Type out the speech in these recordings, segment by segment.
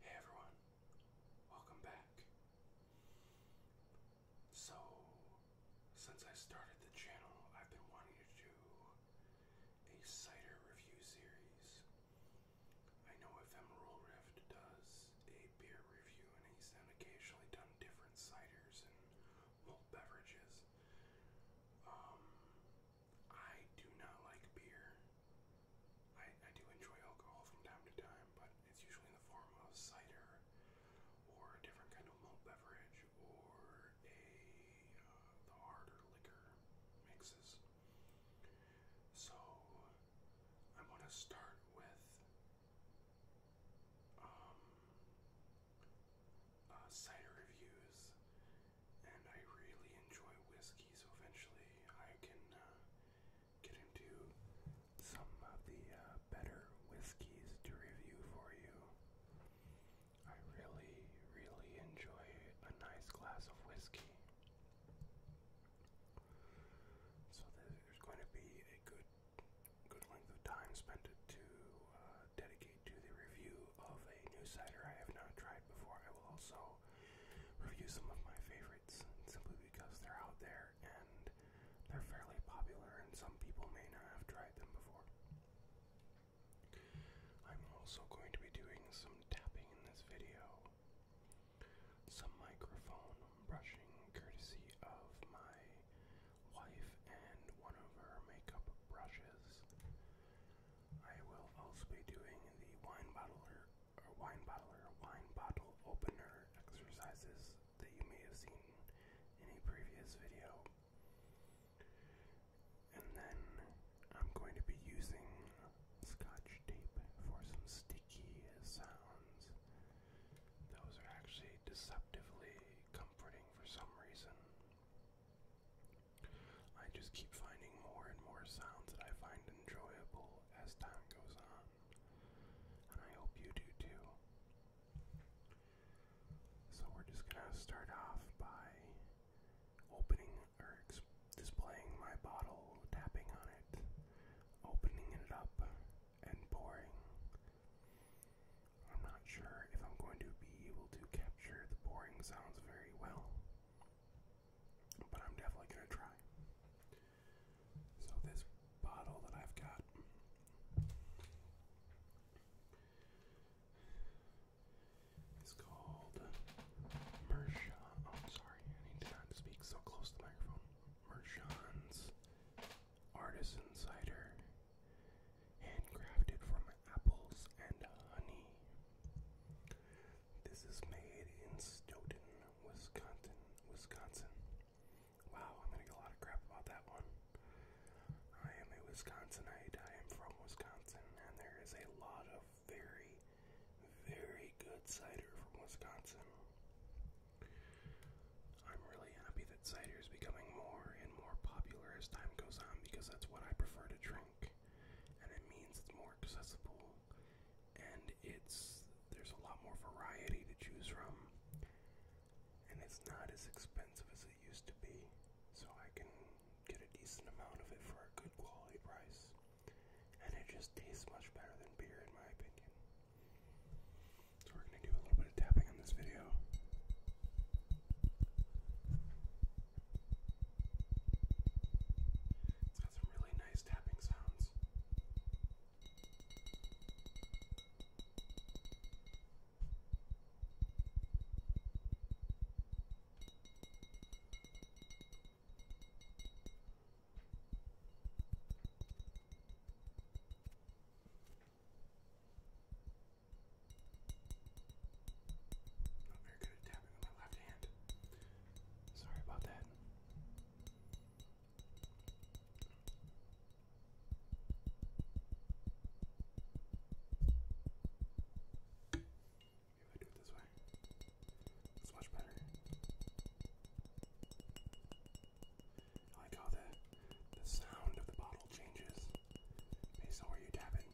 Hey everyone, welcome back. So, since I started the channel, I've been wanting to do a cider review series. I know Ephemeral Rift does a beer review and he's then occasionally done different ciders and malt beverages. Um, I do not like beer. I, I do enjoy alcohol from time to time, but it's usually in the form of cider or a different kind of malt beverage or a uh, the harder liquor mixes. So I'm gonna start with um, uh, cider reviews and I really enjoy whiskey, so eventually I can uh, get into some of the uh, better whiskeys to review for you. I really, really enjoy a nice glass of whiskey. So there's going to be a good, good length of time spent to uh, dedicate to the review of a new cider I have not tried before. I will also review some of my favorites simply because they're out there and they're fairly popular, and some people may not have tried them before. I'm also going to be doing some tapping in this video, some microphone brushing courtesy of my wife and one of her makeup brushes. I will also be doing the wine bottler or wine bottler wine bottle opener exercises that you may have seen in a previous video. And then I'm going to be using scotch tape for some sticky sounds. Those are actually deceptively comforting for some reason. I just keep finding more and more sounds that I find enjoyable as time goes on, and I hope you do too. So, we're just gonna start off by opening or displaying my bottle, tapping on it, opening it up, and pouring. I'm not sure if I'm going to be able to capture the pouring sounds very well but I'm definitely going to try. So, this bottle that I've got is called Mershon. Oh, sorry, I need to not speak so close to the microphone. Mershon's Artisan Cider, handcrafted from apples and honey. This is made in Stoughton, Wisconsin. Wisconsin. Wow, I'm gonna get a lot of crap about that one. I am a Wisconsinite. I am from Wisconsin, and there is a lot of very, very good cider from Wisconsin. I'm really happy that cider is becoming more and more popular as time goes on because that's what I prefer to drink and it means it's more accessible and it's there's a lot more variety to choose from and it's not as expensive as it used to be so I can get a decent amount of it for a good quality price and it just tastes much better than beer in my opinion so we're going to do a little bit of tapping on this video it's got some really nice tapping sounds. Not very good at tapping with my left hand. Sorry about that. Maybe I do it this way. It's much better. I like how the the sound of the bottle changes based on you tap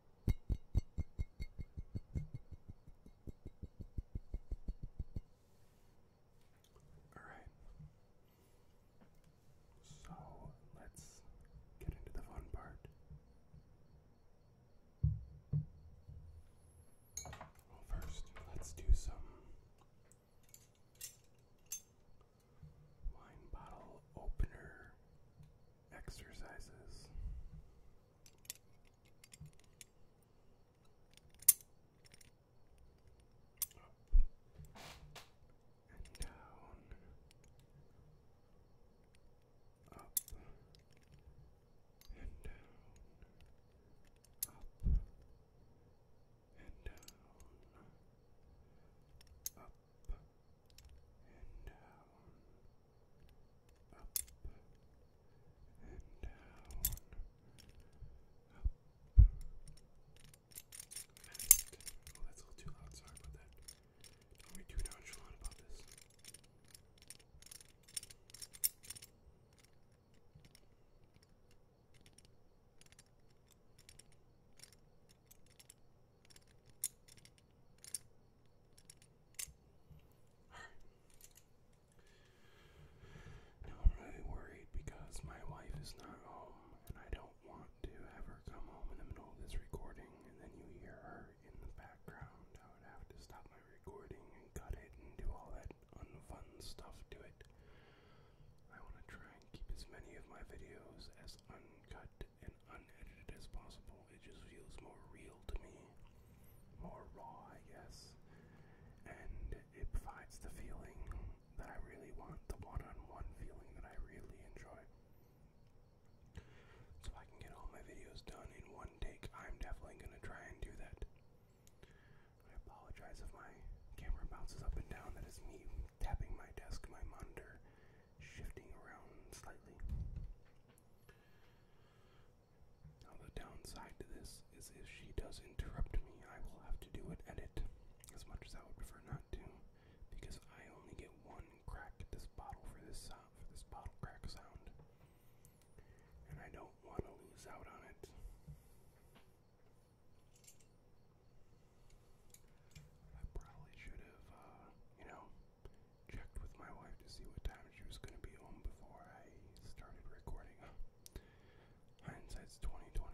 Alright. So let's get into the fun part. first, let's do some wine bottle opener exercises. Up and down. Up and down. Up and down. Up and down up and down, up and oh that's a little too loud, sorry about that. Don't be too nonchalant about this. Up uh, I'm really worried because my wife is not home and I don't want to have come home in the middle of this recording and then you hear her in the background. I would have to stop my recording and cut it and do all that unfun stuff to it. I want to try and keep as many of my videos as uncut and unedited as possible. It just feels more real to me, more raw, I guess. And it provides the feeling that I really want, the one on one feeling that I really enjoy. So I can get all my videos done in one take. I'm definitely going to try and do that. I apologize if my camera bounces up and down. That is me tapping my desk, my monitor, shifting around slightly. Now, the downside to this is if she does interrupt me, I will have to do an edit, as much as I would prefer not to, because I only get one crack at this bottle for this uh, for this bottle crack sound, and I don't want to lose out on it. I probably should have, uh, you know, checked with my wife to see what time she was going to be home before I started recording. Hindsight's 2020.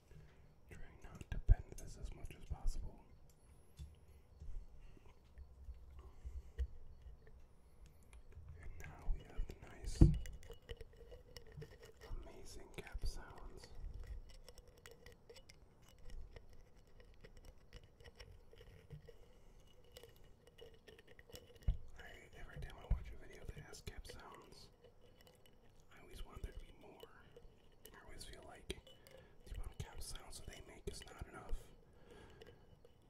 Trying not to bend this as much as possible. And now we have nice, amazing cap sounds. every time I watch a video that has cap sounds, I always want there to be more. I always feel like the amount cap sounds that they make is not enough.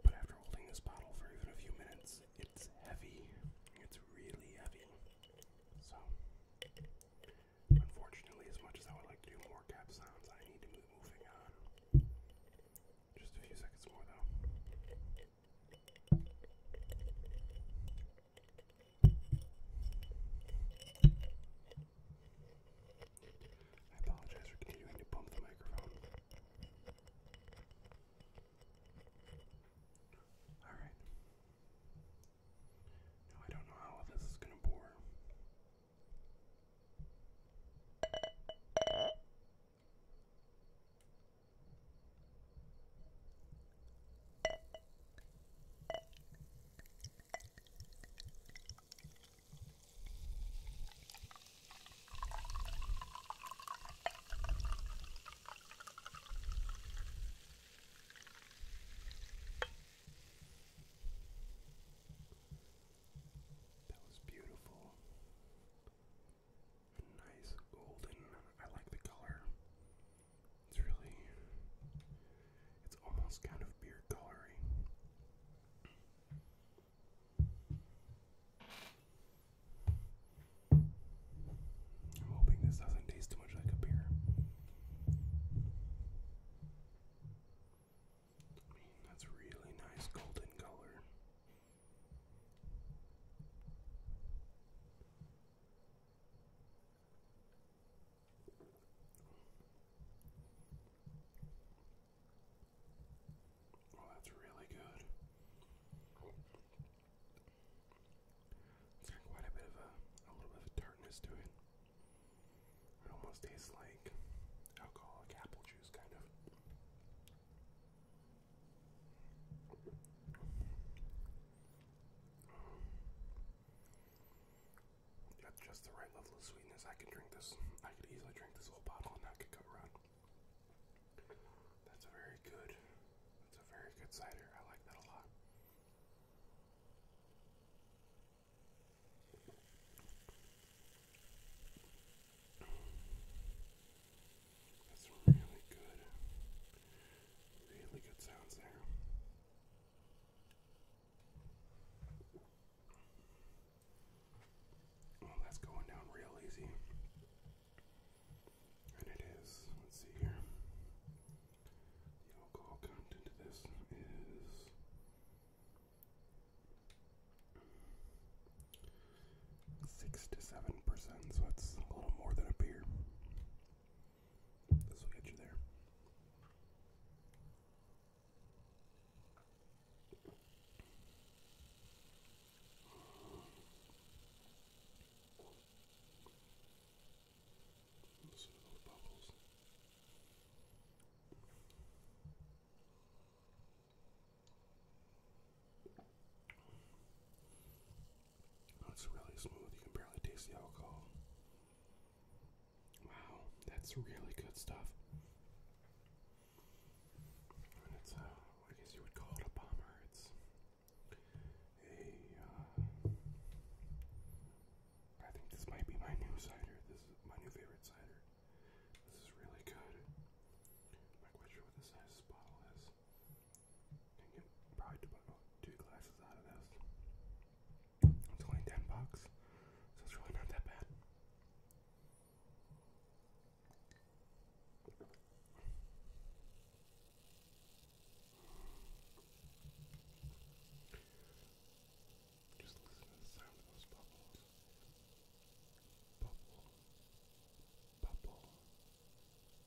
But after holding this bottle for even a few minutes, it's heavy. It's really heavy. So, unfortunately, as much as I would like to do more cap sounds, I need to move moving on. Just a few seconds more, though. I apologize for continuing to bump the microphone. Alright. Now I don't know how this is going to pour. That was beautiful. nice golden. I like the color. It's really, it's almost kind of beer coloring. I'm hoping this doesn't taste too much like a beer. I mean, that's really nice golden color. Oh, that's really good. It's got quite a bit of a, a little bit of tartness to it. It almost tastes like alcoholic apple juice, kind of. Got just the right level of sweetness. I can drink this. I could easily drink this whole bottle and not get cut around. That's a very good. That's a very good cider. I like that a lot. That's really good. Really good sounds there. Well, that's going down real easy. And it is, let's see here. The alcohol content of this is. Six to seven percent, so that's a little more than a beer. This will get you there. Listen to those bubbles. It's really smooth. You can barely taste the alcohol. Wow, that's really good stuff. And it's a, uh, I guess you would call it a bomber. It's a, uh, think this might be my new cider. This is my new favorite cider. This is really good. not quite sure what the size of this bottle is probably two glasses out of this. It's only 10 bucks, so it's really not that bad. Just listen to the sound of those bubbles. Bubble. Bubble.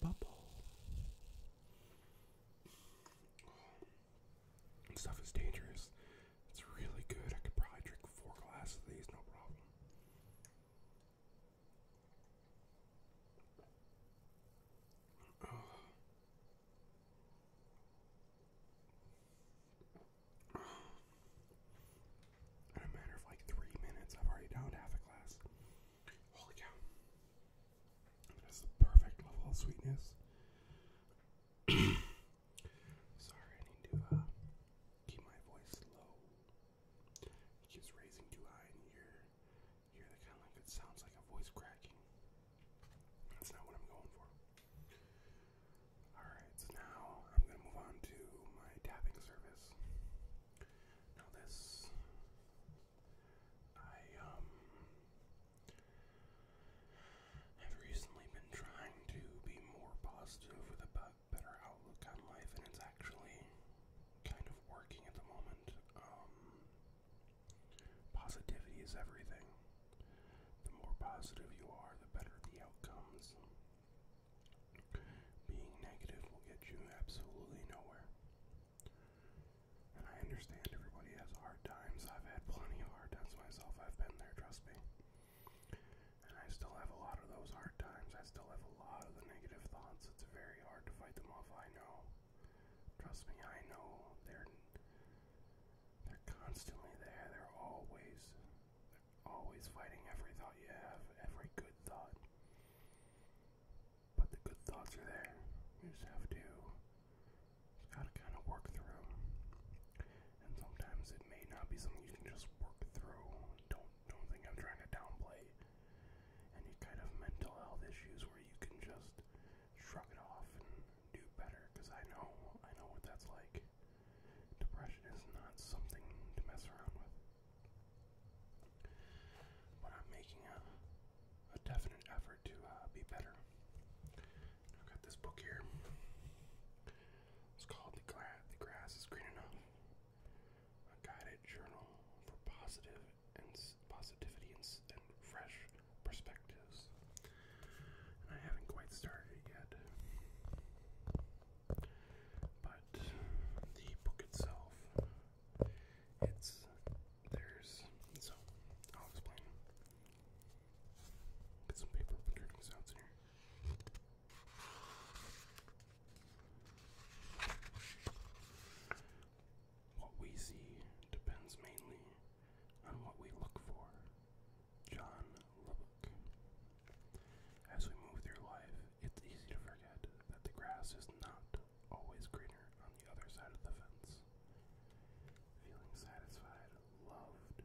bubble. Oh, stuff is dangerous. It's really good. I could probably drink four glasses of these, no problem. In a matter of like three minutes, I've already downed half a glass. Holy cow. That's the perfect level of sweetness. Sorry, I need to uh, keep my voice low. It raising too high, and hear, hear the kind of it sounds like a voice cracking. That's not what I'm going for. Alright, so now I'm going to move on to my tapping service. Now, this I um have recently been trying to be more positive with a better outlook on life, and it's actually kind of working at the moment. Um, positivity is everything. The more positive you are, the better the outcomes. Being negative will get you absolutely nowhere. And I understand everybody has hard times. I've had plenty of hard times myself. I've been there, trust me. And I still have a lot of those hard times. I still have a lot of the negative thoughts. It's very hard to fight them off. I know. Trust me, I know. They're they're constantly there. They're always they're always fighting every thought you have, every good thought but the good thoughts are there. You just have to, just gotta kind of work through And sometimes it may not be something you can just work through. Don't don't think I'm trying to downplay any kind of mental health issues where you can just shrug it off and do better. Cause I know I know what that's like. Depression is not something to mess around with. But I'm making a, definite effort to uh, be better. I've got this book here. It's called The, Grass is Green Enough. A guided journal for positive and positivity and, fresh perspectives. And I haven't quite started yet. But the book itself it's there's so I'll explain. Get some paper What we see depends mainly on what we look for. John Lubbock. As we move through life, it's easy to forget that the grass is not always greener on the other side of the fence. Feeling satisfied, loved,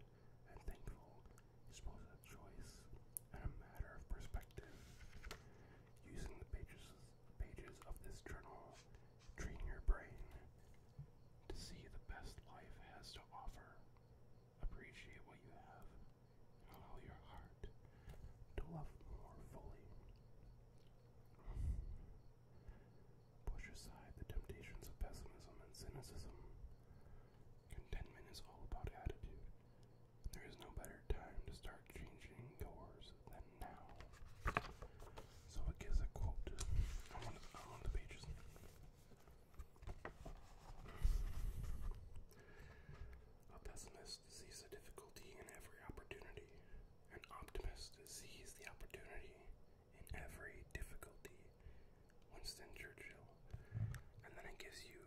and thankful is both a choice and a matter of perspective. Using the pages, pages of this journal, train your brain to see the best life has to offer. Appreciate what you have allow your heart to love more fully. Push aside the temptations of pessimism and cynicism. Contentment is all about attitude. There is no better time to start changing yours than now. So it gives a quote on one the pages. A pessimist sees the difficulty in every opportunity. An optimist sees the opportunity in every difficulty. Winston Churchill. And then it gives you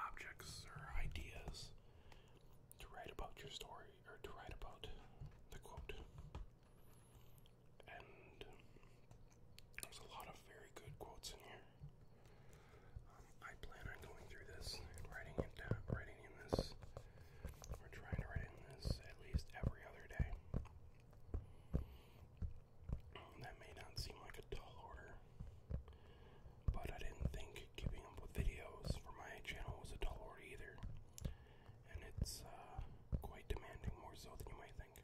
objects or ideas to write about your story or to write about the quote. And there's a lot of very good quotes in here. Um, I plan on going through this and writing it down, writing in this, or trying to write in this at least every other day. That may not seem like a tall order, but I didn't think keeping up with videos for my channel was a tall order either, and it's uh, quite demanding, more so than you might think.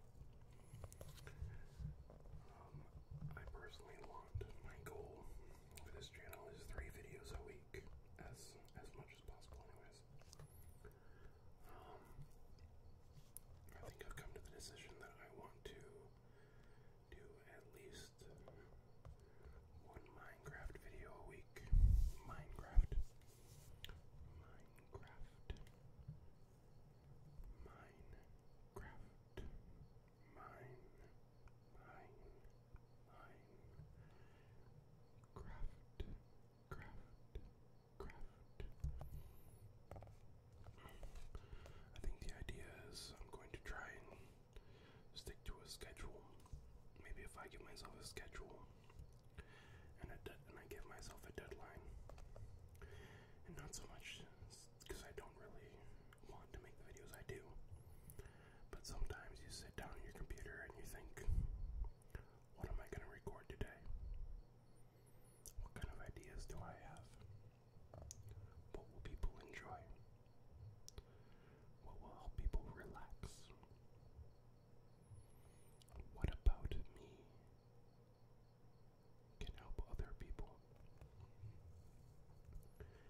Um, I personally want my goal for this channel is three videos a week, as as much as possible, anyways. Um, I think I've come to the decision that I want to do at least one Minecraft video a week. Minecraft. Minecraft. Minecraft mine, mine, mine. Craft, craft, craft. I think the idea is I'm going to try and stick to a schedule. Maybe if I give myself a schedule and, a and I give myself a deadline, and not so much because I don't really want to make the videos I do. But sometimes you sit down on your computer and you think, what am I going to record today? What kind of ideas do I have? What will people enjoy? What will help people relax? What about me can help other people?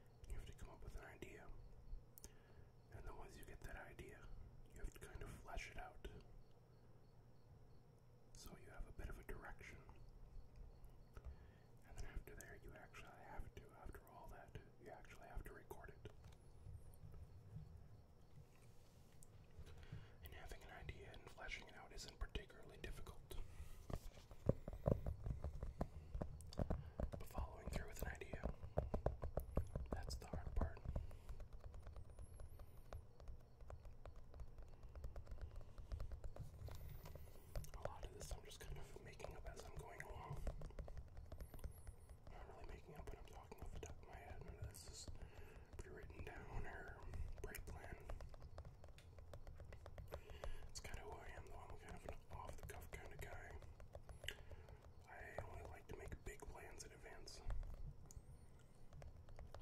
you have to come up with an idea. And once you get that idea, you have to kind of flesh it out. So you have a bit of a direction. And then after there, you actually have to, after all that, you actually have to record it. And having an idea and fleshing it out isn't particularly difficult following through with an idea, that's the hard part. A lot of this I'm just kind of making up as I'm going along. not really making up what I'm talking off the top of my head. None of this is written down or pre-planned. It's kind of who I am, though. I'm kind of an off the cuff kind of guy. I only like to make big plans in advance.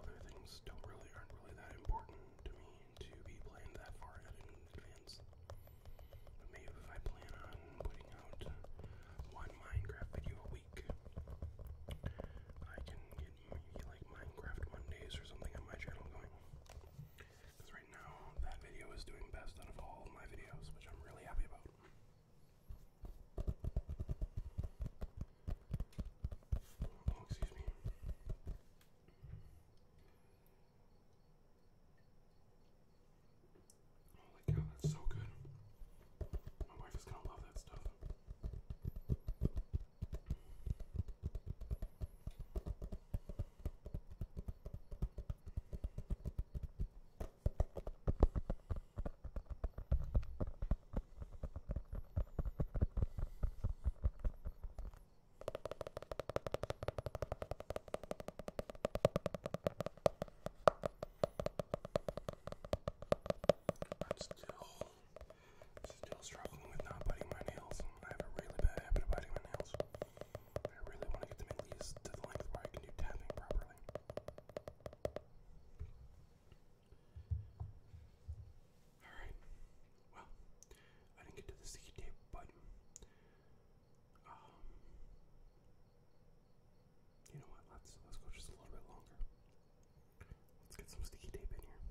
Other things don't really aren't really that important to me to be planned that far ahead in advance. maybe if I plan on putting out one Minecraft video a week, I can get like Minecraft Mondays or something on my channel going. Because right now, that video is doing best out of all my videos, which I'm really happy about. Oh, excuse me. Holy cow, that's so good. My wife is gonna love that stuff. That's the whole Still struggling with not biting my nails. I have a really bad habit of biting my nails. I really want to get them at to the length where I can do tapping properly. Alright. Well, I didn't get to the sticky tape, but um, you know what, let's let's go just a little bit longer. Let's get some sticky tape in here.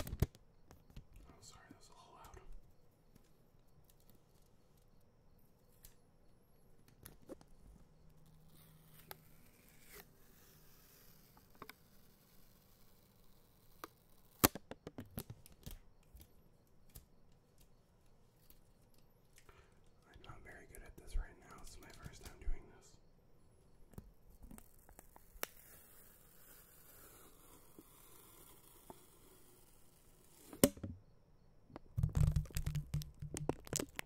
Oh, sorry, that was a little loud. I'm not very good at this right now. It's my first time doing this.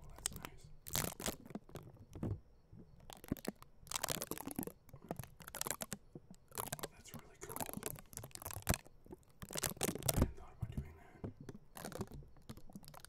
that's nice. Oh, that's really cool. I hadn't thought about doing that.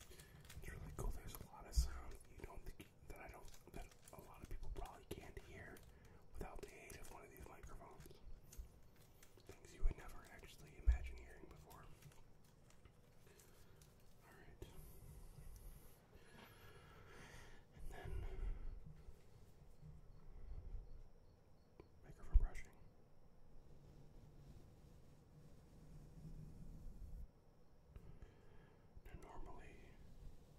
It's really cool. There's a lot of sound you don't think that I don't that a lot of people probably can't hear without the aid of one of these microphones. Things you would never actually imagine hearing before. Alright. And then maker brushing. normally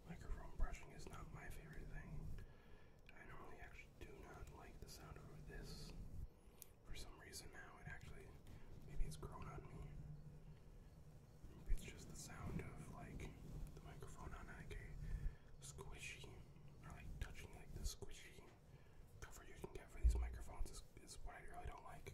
microphone brushing is not my favorite thing. I normally actually do not like the sound of this. For some reason now it actually maybe it's grown on me. it's just the sound of like the microphone on like a squishy or like touching like the squishy cover you can get for these microphones is, what I really don't like.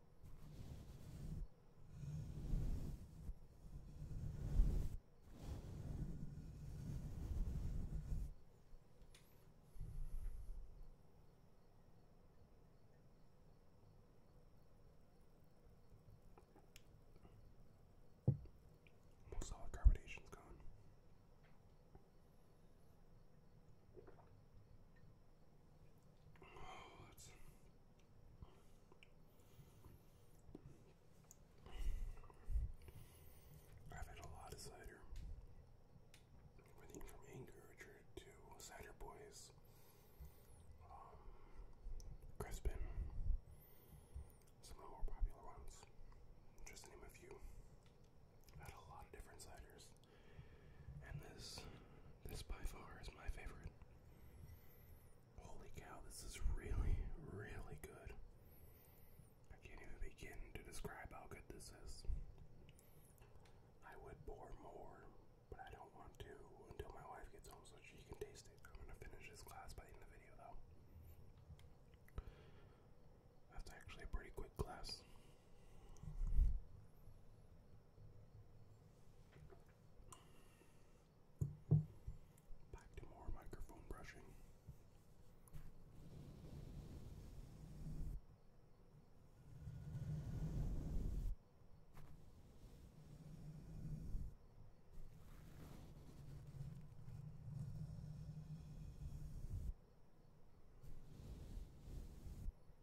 Most all the carbonation's gone. I've had a lot of cider. Everything from Anchorage to Cider Boys, um, Crispin, some of the more popular ones, just to name a few. I've had a lot of different ciders and this this by far is my favorite. Holy cow, this is really, really good. I can't even begin to describe how good this is. I would pour more, but I don't want to until my wife gets home so she can taste it. I'm gonna finish this glass by the end of the video though. That's actually a pretty quick glass. Back to more microphone brushing.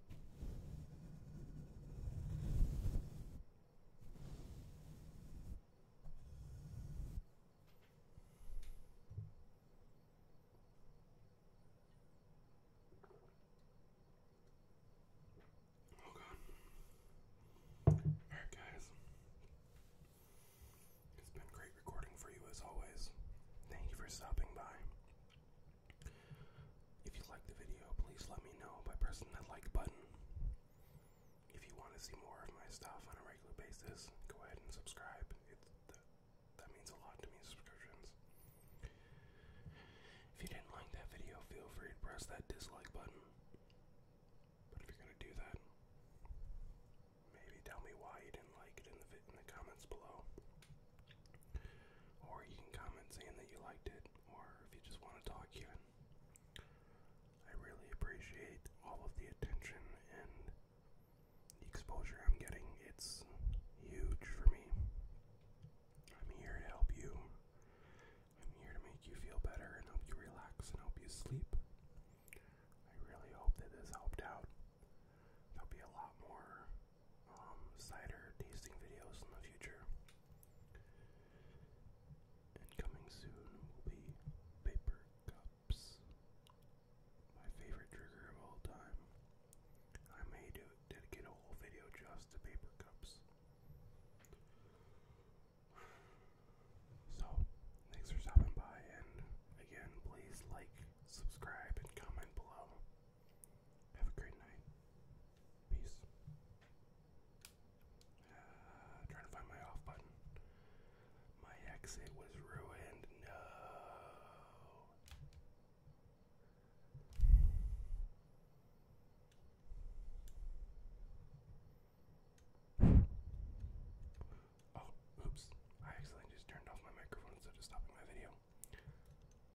Oh god. Alright guys. It's been great recording for you as always. Thank you for stopping by. If you like the video, please let me know by pressing that like button. If you want to see more of my stuff on a regular basis, go ahead and subscribe. It, that, means a lot to me, subscriptions. If you didn't like that video, feel free to press that dislike button. But if you're going to do that, maybe tell me why you didn't like it in the, in the comments below. Or you can comment saying that you liked it, or if you just want to talk even. I really appreciate all of the attention and the exposure I'm getting. It's huge for me. I'm here to help you. I'm here to make you feel better and help you relax and help you sleep. I really hope that this helped out. There'll be a lot more um, cider tasting videos in the future. And coming soon will be paper cups. My favorite trigger of all time. I may do dedicate a whole video just to paper cups. So, thanks for stopping by, and again, please like, subscribe, and comment below. Have a great night. Peace. Uh, trying to find my off button. My exit was ruined. No. Oh, oops. I accidentally just turned off my microphone instead of stopping my video.